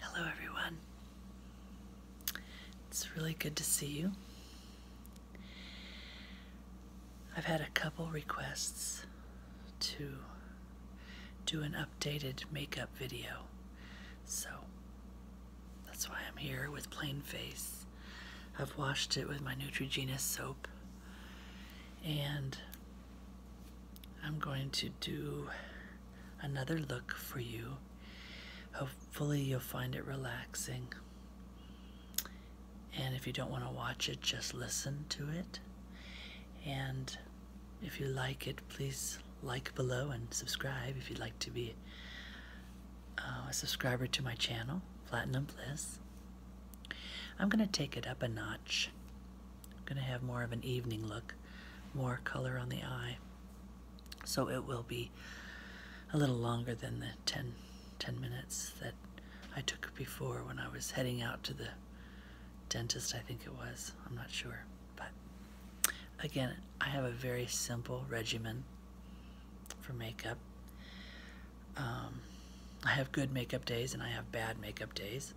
Hello, everyone. It's really good to see you. I've had a couple requests to do an updated makeup video, so that's why I'm here with Plain Face. I've washed it with my Neutrogena soap and I'm going to do another look for you. Hopefully, you'll find it relaxing. And if you don't want to watch it, just listen to it. And if you like it, please like below and subscribe if you'd like to be uh, a subscriber to my channel, Platinum Bliss. I'm going to take it up a notch I'm going to have more of an evening look, more color on the eye. So it will be a little longer than the 10, minutes that I took before when I was heading out to the dentist, I think it was. I'm not sure. But again, I have a very simple regimen for makeup. Um, I have good makeup days and I have bad makeup days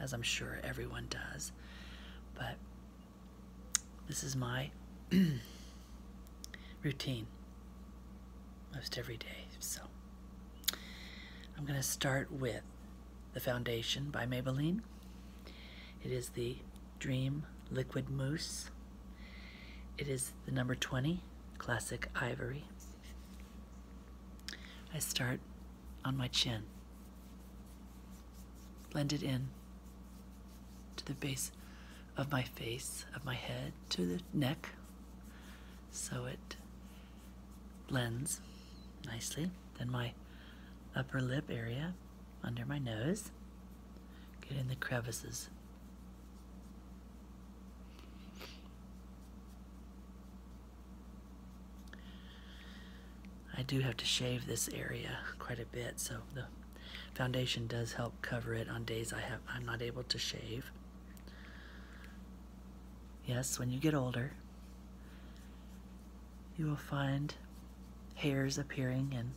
as I'm sure everyone does. But this is my routine most every day. So I'm going to start with The Foundation by Maybelline. It is the Dream Liquid Mousse. It is the number 20 Classic Ivory. I start on my chin, blend it in to the base of my face, of my head, to the neck, so it blends nicely. Then my upper lip area under my nose, get in the crevices. I do have to shave this area quite a bit, so the foundation does help cover it on days I have I'm not able to shave. Yes, when you get older, you will find hairs appearing in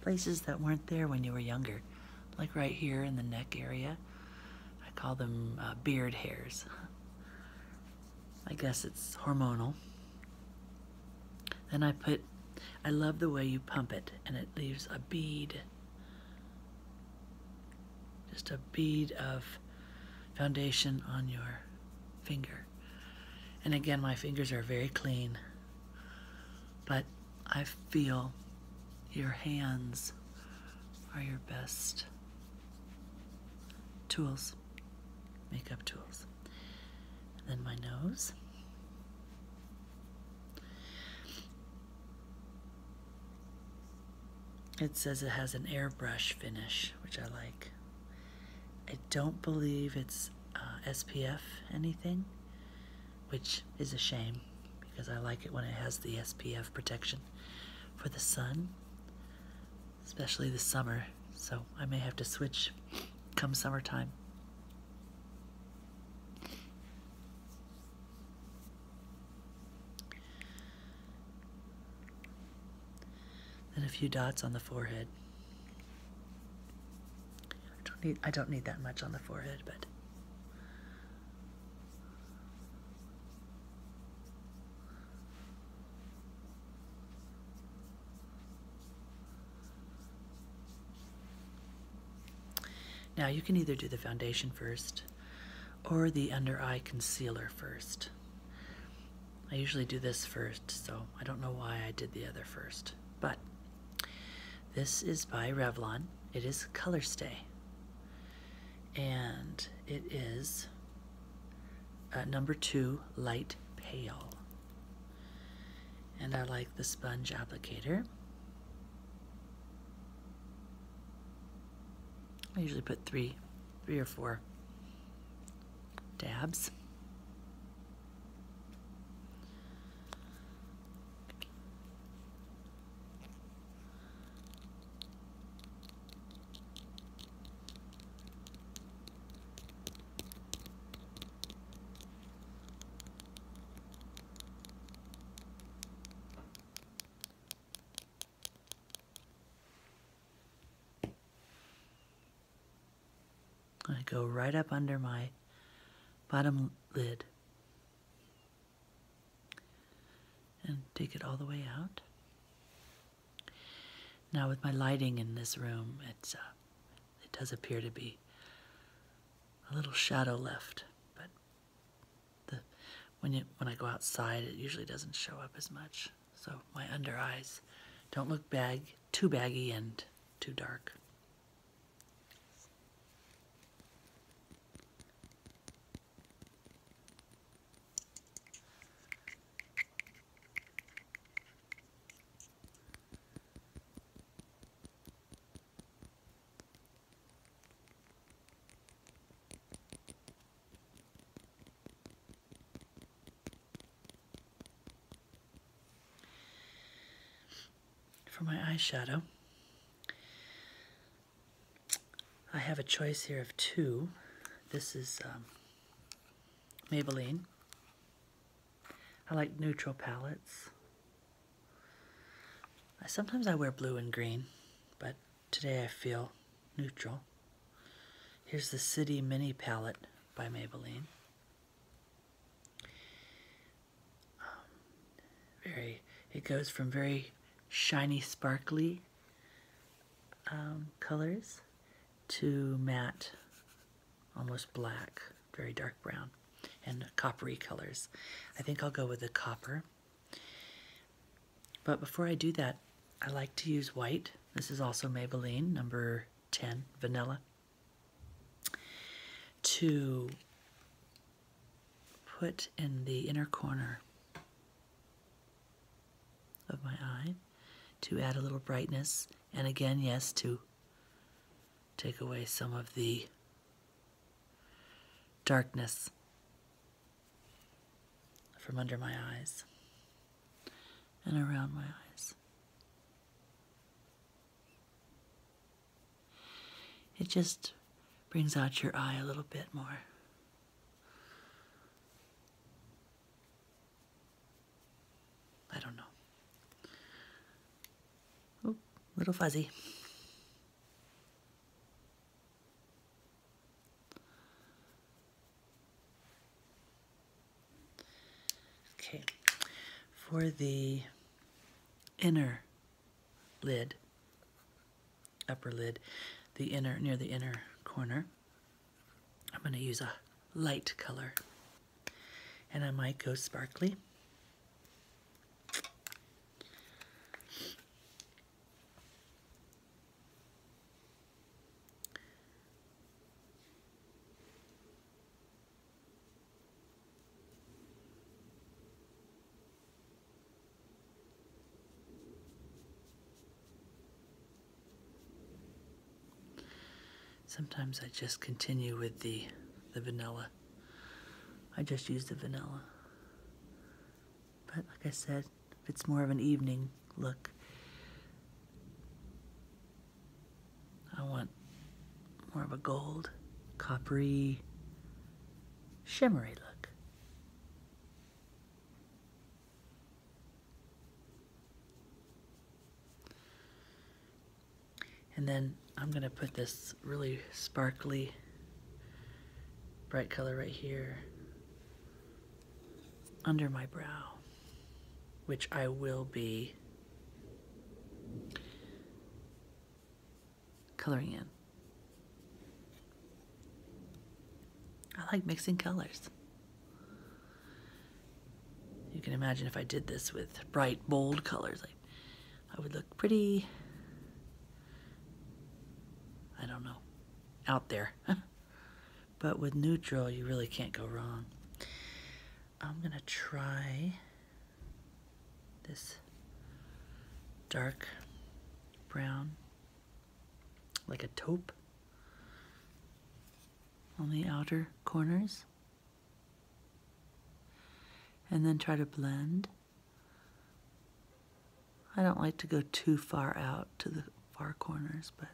places that weren't there when you were younger, like right here in the neck area. I call them uh, beard hairs. I guess it's hormonal. Then I put, I love the way you pump it, and it leaves a bead, just a bead of foundation on your finger. And again, my fingers are very clean, but I feel your hands are your best tools, makeup tools. then my nose. It says it has an airbrush finish, which I like. I don't believe it's uh, SPF anything, which is a shame because I like it when it has the SPF protection for the sun, especially the summer. So I may have to switch come summertime. Then a few dots on the forehead. I don't need I don't need that much on the forehead, but now you can either do the foundation first or the under eye concealer first. I usually do this first, so I don't know why I did the other first. But this is by Revlon. It is Color Stay and it is uh, number two, light pale. And I like the sponge applicator. I usually put three, three or four dabs. I go right up under my bottom lid and take it all the way out. Now with my lighting in this room, it's uh, it does appear to be a little shadow left, but when you when I go outside, it usually doesn't show up as much. So my under eyes don't look bag too baggy and too dark. For my eyeshadow, I have a choice here of two. This is um, Maybelline. I like neutral palettes. sometimes I wear blue and green, but today I feel neutral. Here's the City Mini Palette by Maybelline very, it goes from very shiny, sparkly um, colors to matte, almost black, very dark brown, and coppery colors. I think I'll go with the copper. But before I do that, I like to use white. This is also Maybelline, number 10, vanilla, to put in the inner corner of my eye to add a little brightness and again yes to take away some of the darkness from under my eyes and around my eyes. It just brings out your eye a little bit more. I don't know. Oh, little fuzzy. Okay, for the inner lid, upper lid, the inner, near the inner corner. I'm going to use a light color. And I might go sparkly. Sometimes I just continue with the the vanilla. I just use the vanilla. But like I said, if it's more of an evening look, I want more of a gold, coppery, shimmery look. And then I'm going to put this really sparkly bright color right here under my brow, which I will be coloring in. I like mixing colors. You can imagine if I did this with bright, bold colors, I would look pretty, I don't know, out there. but with neutral, you really can't go wrong. I'm gonna try this dark brown, like a taupe on the outer corners. And then try to blend. I don't like to go too far out to the far corners, but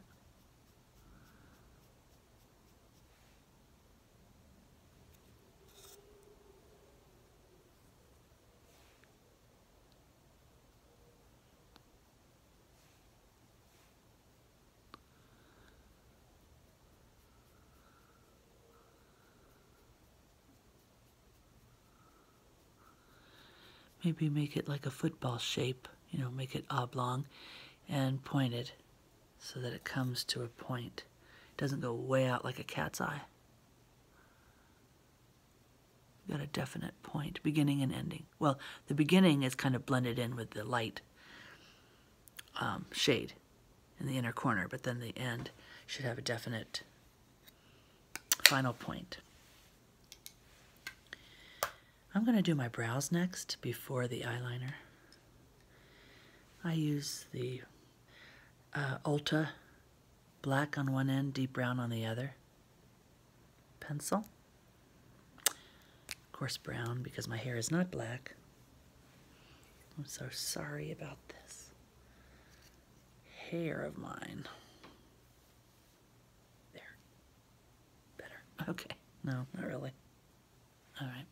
Maybe make it like a football shape, you know, make it oblong and pointed so that it comes to a point. It doesn't go way out like a cat's eye. got a definite point, beginning and ending. Well, the beginning is kind of blended in with the light um, shade in the inner corner, but then the end should have a definite final point. I'm going to do my brows next before the eyeliner. I use the uh, Ulta, black on one end, deep brown on the other. Pencil. Of course, brown because my hair is not black. I'm so sorry about this hair of mine. There. Better. Okay. No, not really. All right.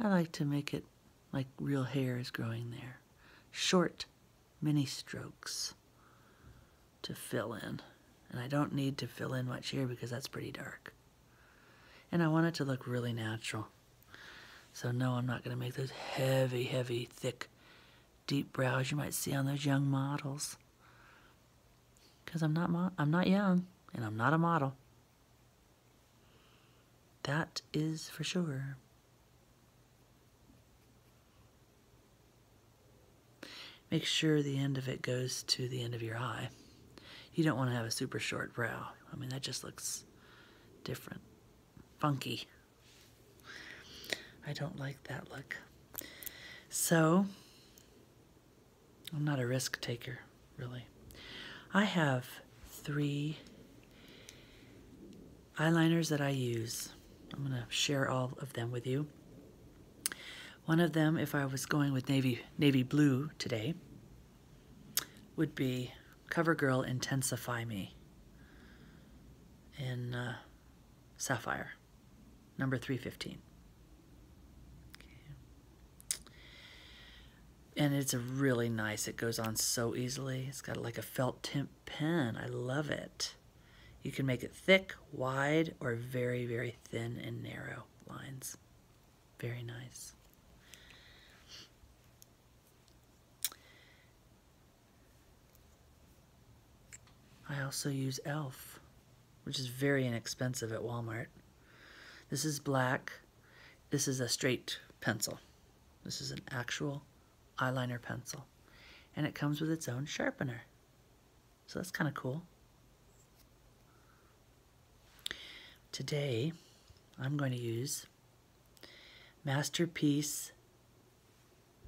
I like to make it like real hair is growing there. Short mini strokes to fill in. And I don't need to fill in much here because that's pretty dark. And I want it to look really natural. So no, I'm not going to make those heavy, heavy, thick, deep brows you might see on those young models. Because I'm not, I'm not young and I'm not a model. That is for sure. Make sure the end of it goes to the end of your eye. You don't want to have a super short brow. I mean, that just looks different, funky. I don't like that look. So, I'm not a risk taker, really. I have three eyeliners that I use. I'm going to share all of them with you. One of them, if I was going with navy, navy blue today, would be CoverGirl Intensify Me in uh, Sapphire number 315. Okay. And it's really nice, it goes on so easily. It's got like a felt tip pen. I love it. You can make it thick, wide, or very, very thin and narrow lines. Very nice. I also use e.l.f., which is very inexpensive at Walmart. This is black. This is a straight pencil. This is an actual eyeliner pencil. And it comes with its own sharpener. So that's kind of cool. Today, I'm going to use Masterpiece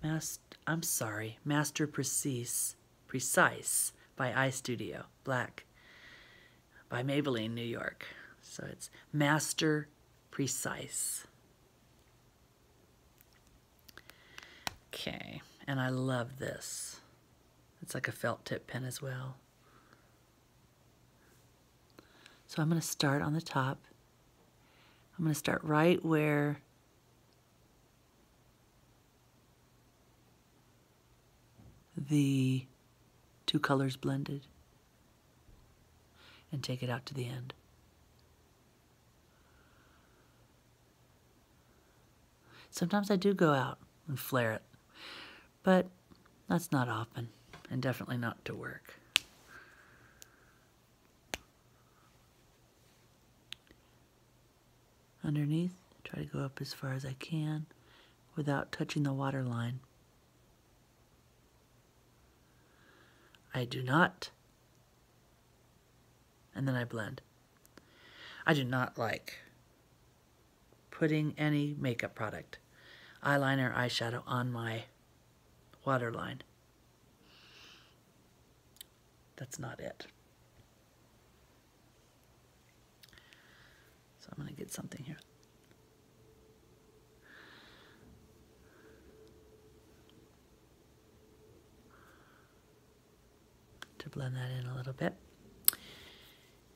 Master, I'm sorry, Master Precise, Precise by iStudio, Black, by Maybelline, New York. So it's Master Precise. Okay, and I love this. It's like a felt tip pen as well. So I'm going to start on the top. I'm going to start right where the two colors blended and take it out to the end. Sometimes I do go out and flare it, but that's not often and definitely not to work. Underneath, try to go up as far as I can without touching the water line. I do not. And then I blend. I do not like putting any makeup product, eyeliner, eyeshadow on my waterline. That's not it. So I'm going to get something here. To blend that in a little bit.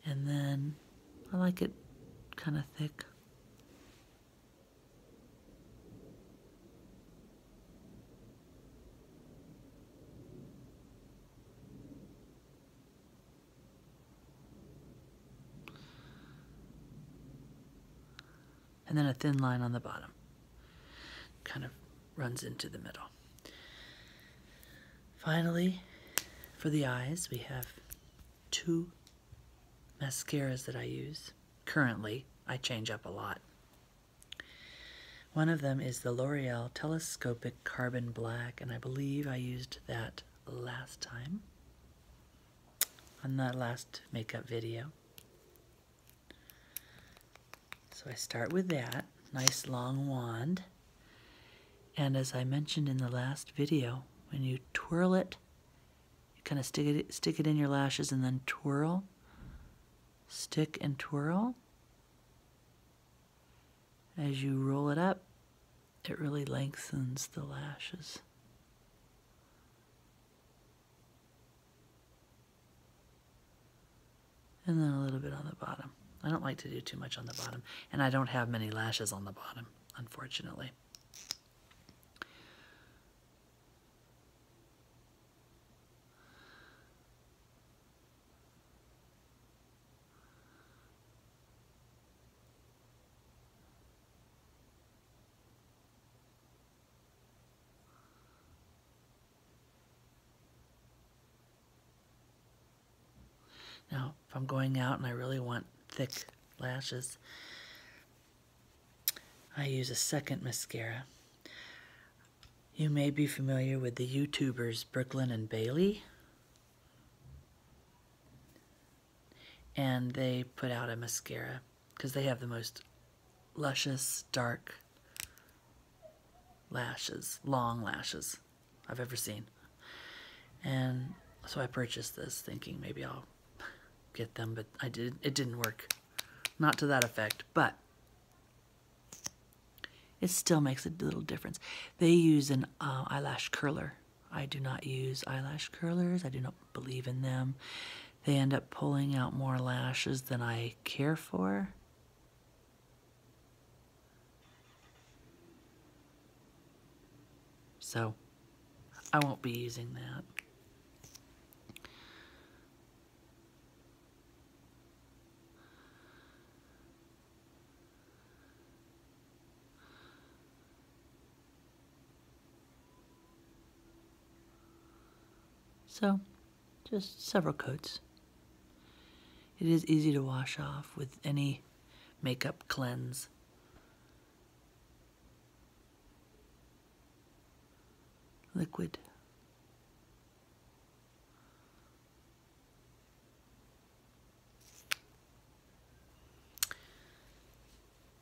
And then I like it kind of thick and then a thin line on the bottom kind of runs into the middle. Finally, for the eyes, we have two mascaras that I use. Currently, I change up a lot. One of them is the L'Oreal Telescopic Carbon Black, and I believe I used that last time on that last makeup video. So I start with that nice long wand. And as I mentioned in the last video, when you twirl it, kind of stick it, stick it in your lashes and then twirl. Stick and twirl. As you roll it up, it really lengthens the lashes. And then a little bit on the bottom. I don't like to do too much on the bottom, and I don't have many lashes on the bottom, unfortunately. Now, if I'm going out and I really want thick lashes, I use a second mascara. You may be familiar with the YouTubers Brooklyn and Bailey. And they put out a mascara because they have the most luscious, dark lashes, long lashes I've ever seen. And so I purchased this thinking maybe I'll get them, but I did it didn't work. Not to that effect, but it still makes a little difference. They use an uh, eyelash curler. I do not use eyelash curlers. I do not believe in them. They end up pulling out more lashes than I care for. So I won't be using that. So, just several coats. It is easy to wash off with any makeup cleanse liquid.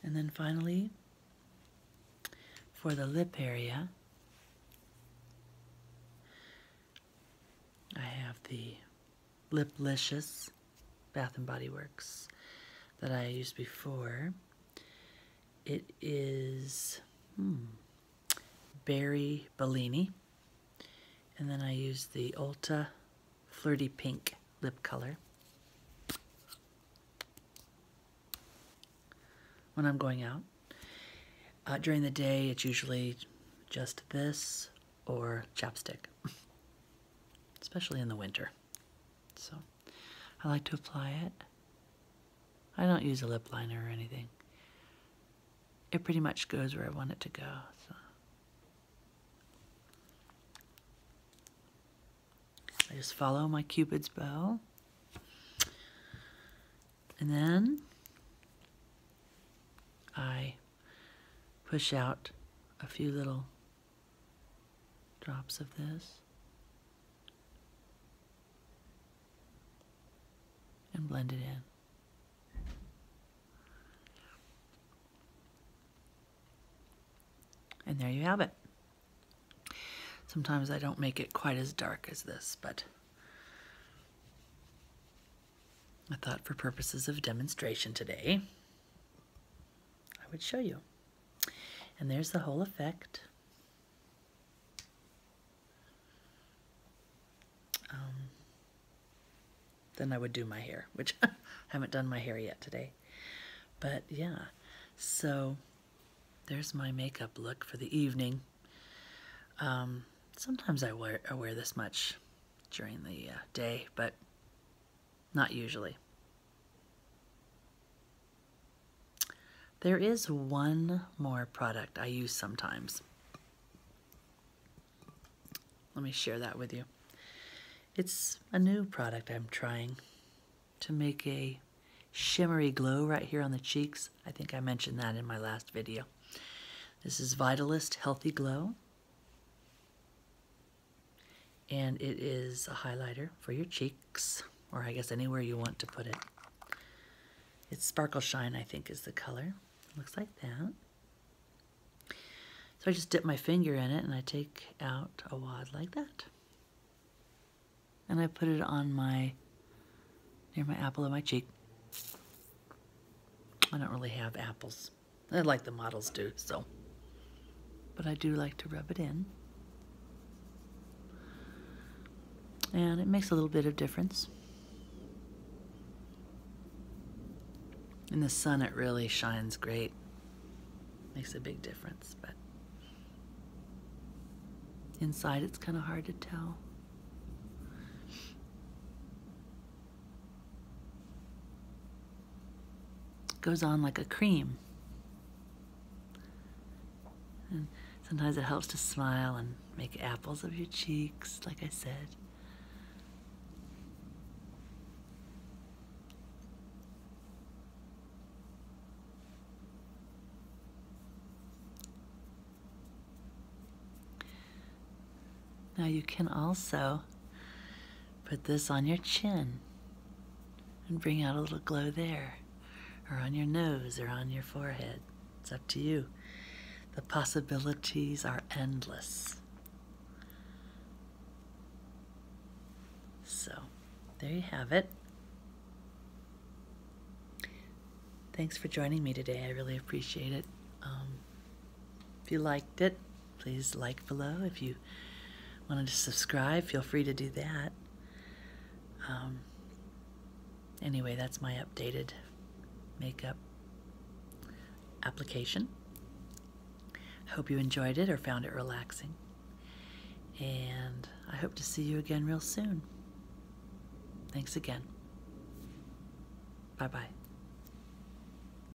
And then finally, for the lip area, I have the Liplicious Bath and Body Works that I used before. It is hmm, Berry Bellini. And then I use the Ulta Flirty Pink lip color. When I'm going out. Uh, during the day, it's usually just this or chapstick, especially in the winter. So I like to apply it. I don't use a lip liner or anything. It pretty much goes where I want it to go. So I just follow my cupid's bow. And then I push out a few little drops of this, and blend it in. And there you have it. Sometimes I don't make it quite as dark as this, but I thought for purposes of demonstration today, I would show you. And there's the whole effect. Um, then I would do my hair, which I haven't done my hair yet today. But yeah, so there's my makeup look for the evening. Um, sometimes I wear, I wear this much during the uh, day, but not usually. There is one more product I use sometimes. Let me share that with you. It's a new product I'm trying to make a shimmery glow right here on the cheeks. I think I mentioned that in my last video. This is Vitalist Healthy Glow and it is a highlighter for your cheeks, or I guess anywhere you want to put it. It's Sparkle Shine, I think, is the color. looks like that. So I just dip my finger in it and I take out a wad like that. And I put it on my, near my apple of my cheek. I don't really have apples. I like the models too, so. But I do like to rub it in. And it makes a little bit of difference. In the sun, it really shines great. Makes a big difference, but inside, it's kind of hard to tell goes on like a cream. And sometimes it helps to smile and make apples of your cheeks, like I said. Now you can also Put this on your chin and bring out a little glow there, or on your nose, or on your forehead. It's up to you. The possibilities are endless. So, there you have it. Thanks for joining me today. I really appreciate it. Um, if you liked it, please like below. If you wanted to subscribe, feel free to do that. Um, anyway, that's my updated makeup application. Hope you enjoyed it or found it relaxing. And I hope to see you again real soon. Thanks again. Bye bye.